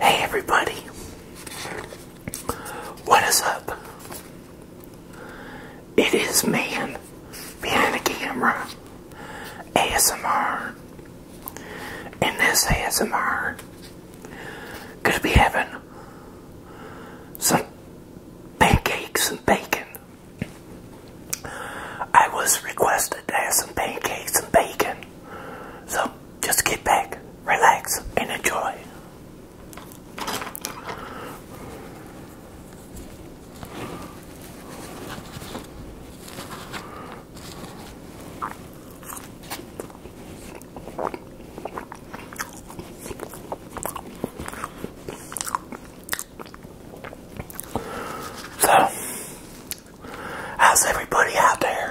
Hey everybody, what is up? It is man behind the camera, ASMR, and this ASMR gonna be having some pancakes and bacon. I was requested to have some pancakes and bacon. So just get back, relax, and enjoy. So, how's everybody out there?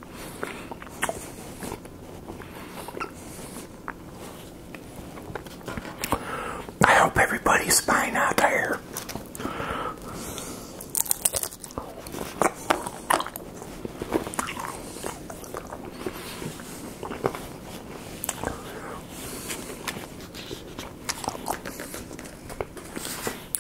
I hope everybody's fine out there.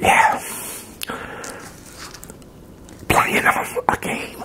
Yeah, playing a game.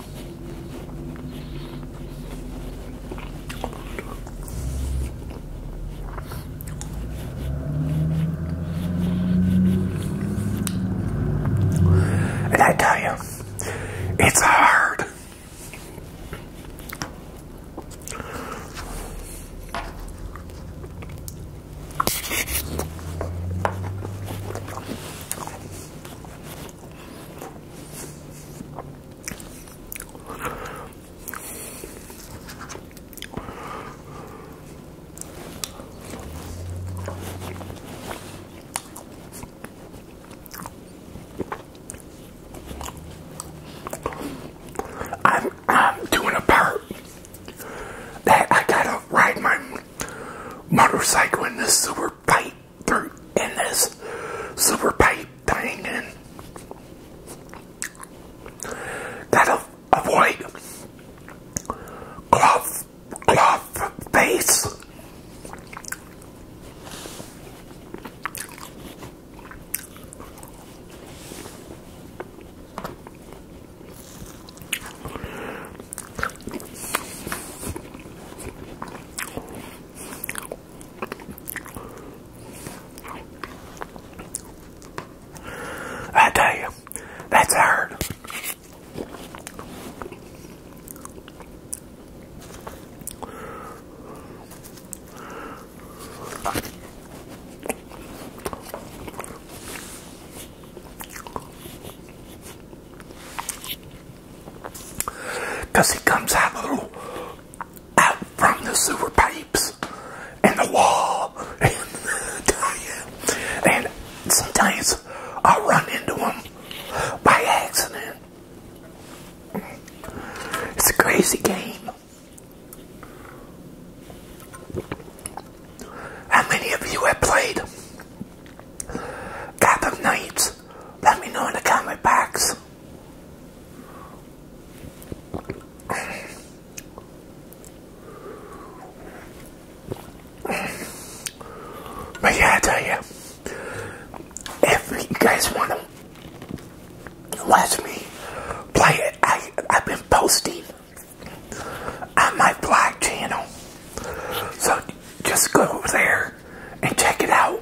And I tell you, it's hard. I'm, doing a part that I gotta ride my motorcycle in this super pipe through in this super pipe thing and that'll avoid cloth cloth face I tell you, that's hard. Because he comes out of out from the sewer pipes and the wall. And, and sometimes I run into him by accident. It's a crazy game. How many of you have played of Knights? Let me know in the comment box. But yeah, I tell you, if you guys want to watch me play it, I, I've been posting on my blog channel. So just go there and check it out.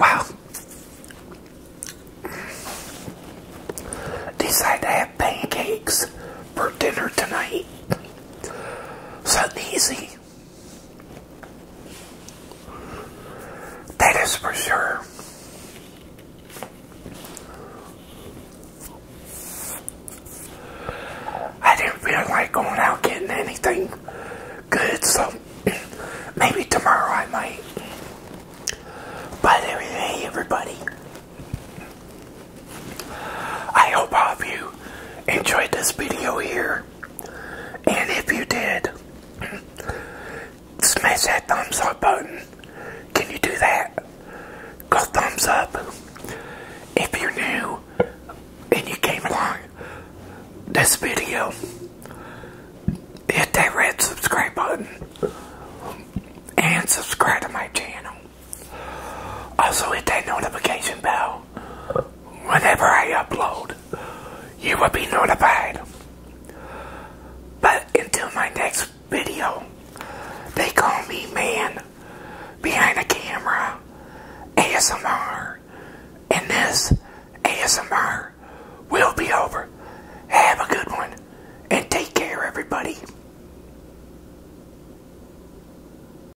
Wow. Decide to have pancakes for dinner tonight. So easy. That is for sure. I didn't feel like going out getting anything good, so maybe tomorrow I might. But hey, everybody. I hope you enjoyed this video here. And if you did, smash that thumbs up button. Can you do that? Go thumbs up. If you're new and you came along this video, hit that red subscribe button and subscribe to my channel. Also hit that notification bell whenever I upload, you will be notified. But until my next video, they call me man behind the camera ASMR. And this ASMR will be over. Have a good one and take care, everybody.